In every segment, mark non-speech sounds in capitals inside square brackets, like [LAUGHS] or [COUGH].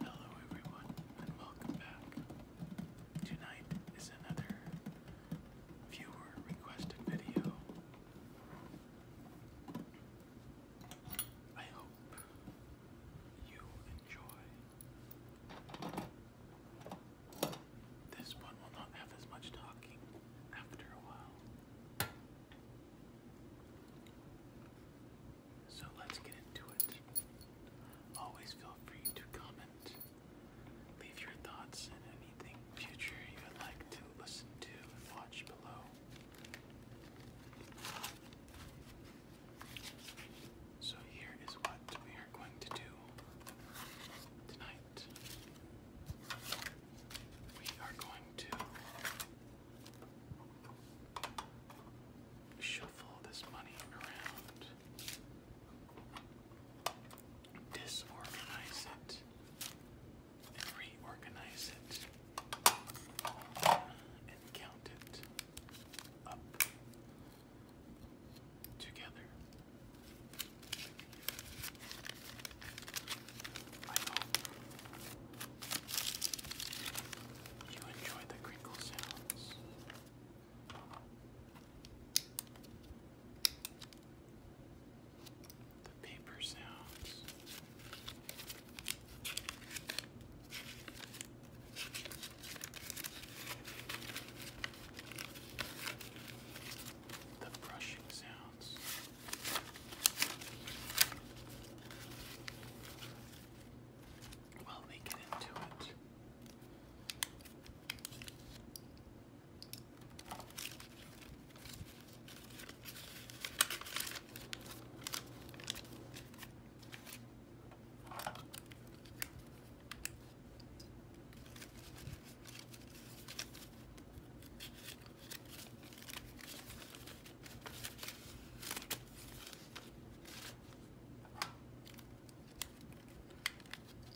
Hello, everyone, and welcome back. Tonight is another viewer requested video. I hope you enjoy. This one will not have as much talking after a while. So let's get into it. Always feel free to comment, leave your thoughts, and anything future you would like to listen to watch below. So here is what we are going to do tonight. We are going to shuffle this money around, disorganize it, and reorganize it, and count it up together. I you enjoy the crinkle sounds. The paper sounds. The brushing sounds pounds. While we get into it.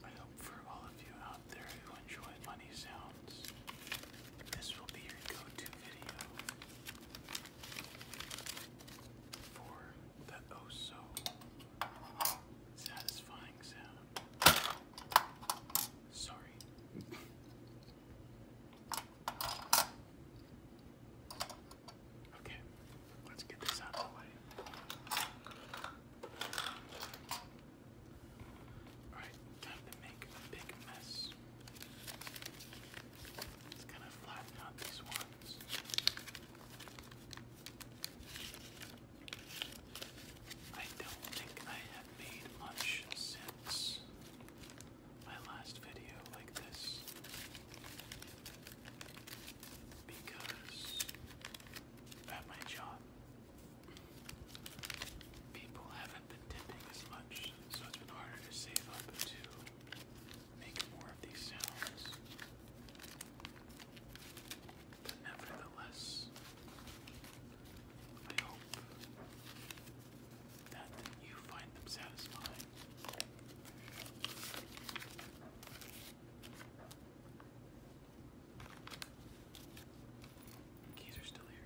I hope for all of you out there who enjoy money sounds, this will be your go to video for the oh so satisfying sound. Sorry. [LAUGHS] Okay, let's get this out of the way. Alright, time to make a big mess. It's kind of flatten out these ones. I don't think I have made much sense my last video like this because at my job people haven't been tipping as much, so it's been harder to save up to make more of these sounds. But nevertheless, I hope that you find them satisfying. Keys are still here.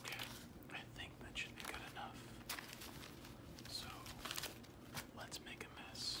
Okay, I think that should be good enough. So let's make a mess.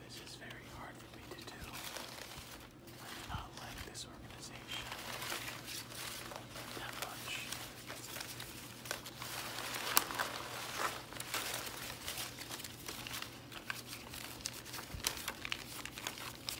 This is very hard for me to do. I do not like this organization that much.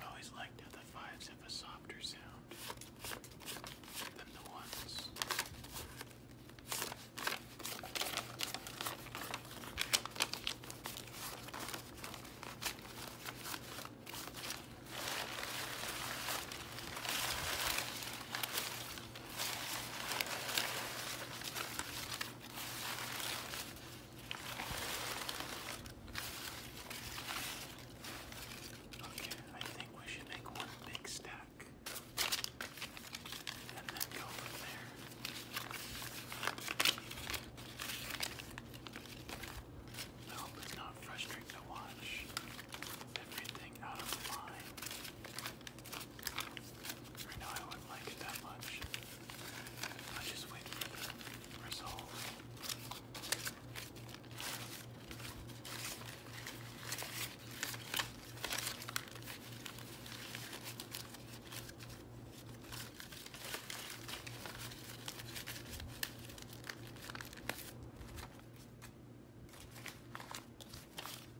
I always liked how the fives have a softer sound than the ones. Okay, I think we should make one big stack and then go from there. I hope it's not frustrating to watch everything out of line. Right now I wouldn't like it that much. I just wait for the result.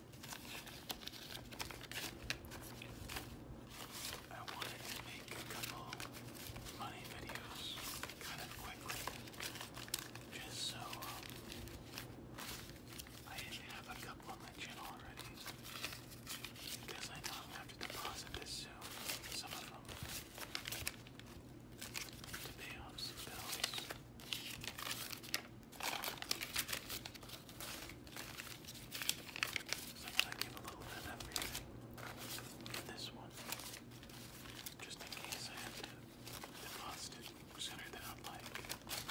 I wanted to make a couple funny videos kind of quickly, just so um, I have a couple on my channel already, because I know I'm going to have to deposit this soon, some of them, to pay off some bills. So I'm gonna give a little bit of everything in this one, just in case I have to defrost it sooner than I'd like. All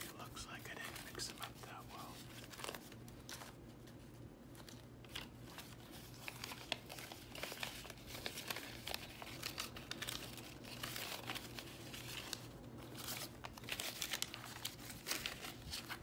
It looks like I didn't mix them up that well.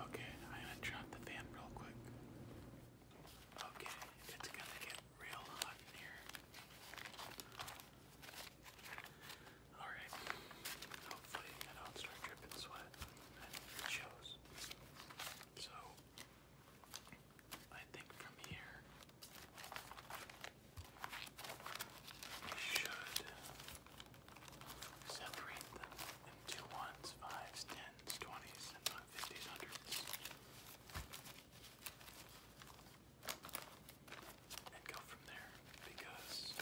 Okay, I'm gonna drop the fan real quick. Okay, it's gonna get real hot in here. Alright. Hopefully I don't start dripping sweat. And shows. So I think from here we should separate them into ones, fives, tens, twenties, fifties, hundreds and go from there because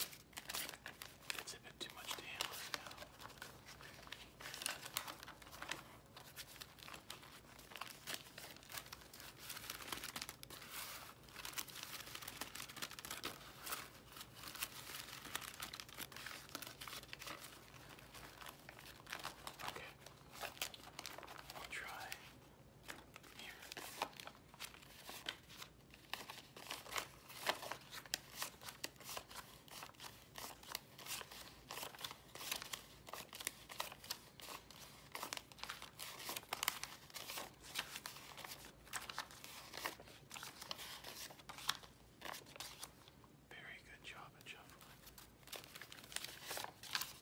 it's a bit too much to handle right now. Okay. I'll try here. Very good job at shuffling.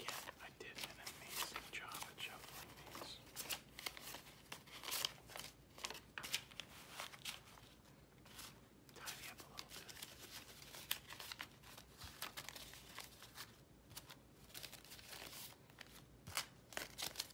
Again, I did an amazing job at shuffling these. Tidy up a little bit. All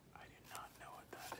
I do not know what that is.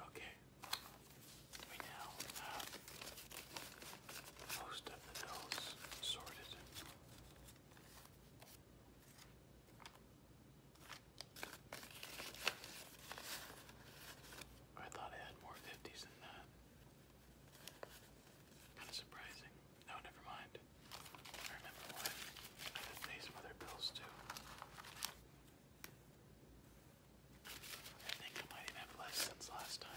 Okay, we now have most of the bills sorted. I thought I had more 50s than that. Kind of surprising. No, never mind. I remember why. I had these mother pills too. I think I might even have less since last time.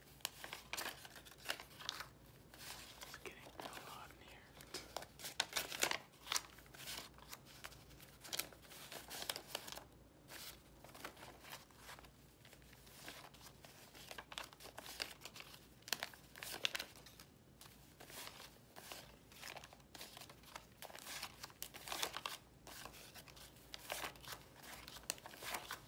It's getting real hot in here. All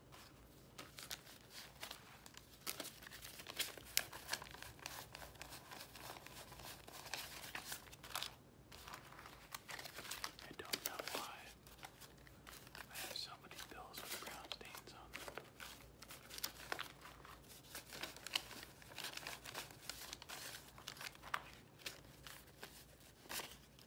I don't know why I have so many bills with brown stains on them.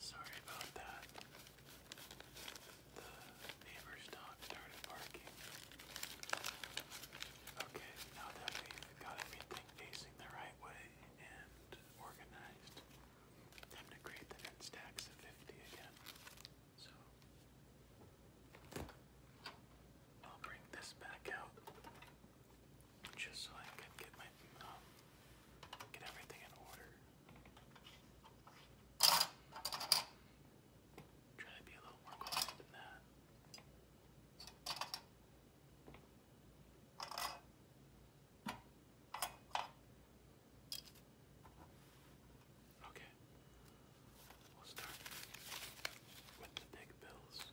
Sorry about that. The neighbor's dog started barking. Okay, now that we've got everything facing the right way and organized, time to create the next stacks of 50 again. So I'll bring this back out just so I can get my um, get everything in order. Try to be a little more quiet than that. Okay. We'll start with the big bills.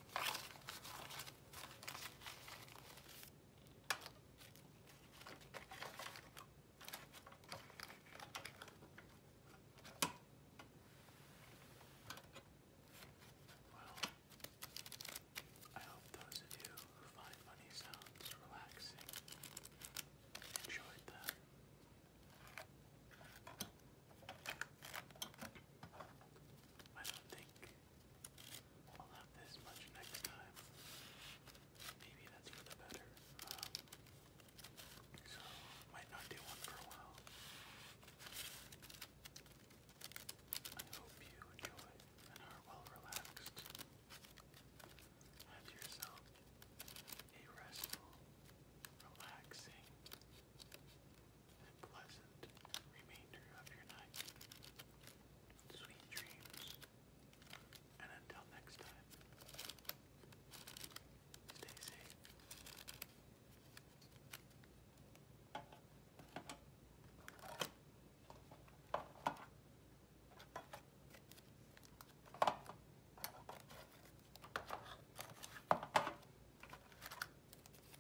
Well, I hope those of you who find money sounds relaxing enjoyed them. I don't think I'll have this much next time. Maybe that's for the better. Um, so, might not do one for a while. I hope you enjoy and are well relaxed. Have yourself a restful, relaxing, and pleasant remainder of your night. Sweet dreams, and until next time, stay safe.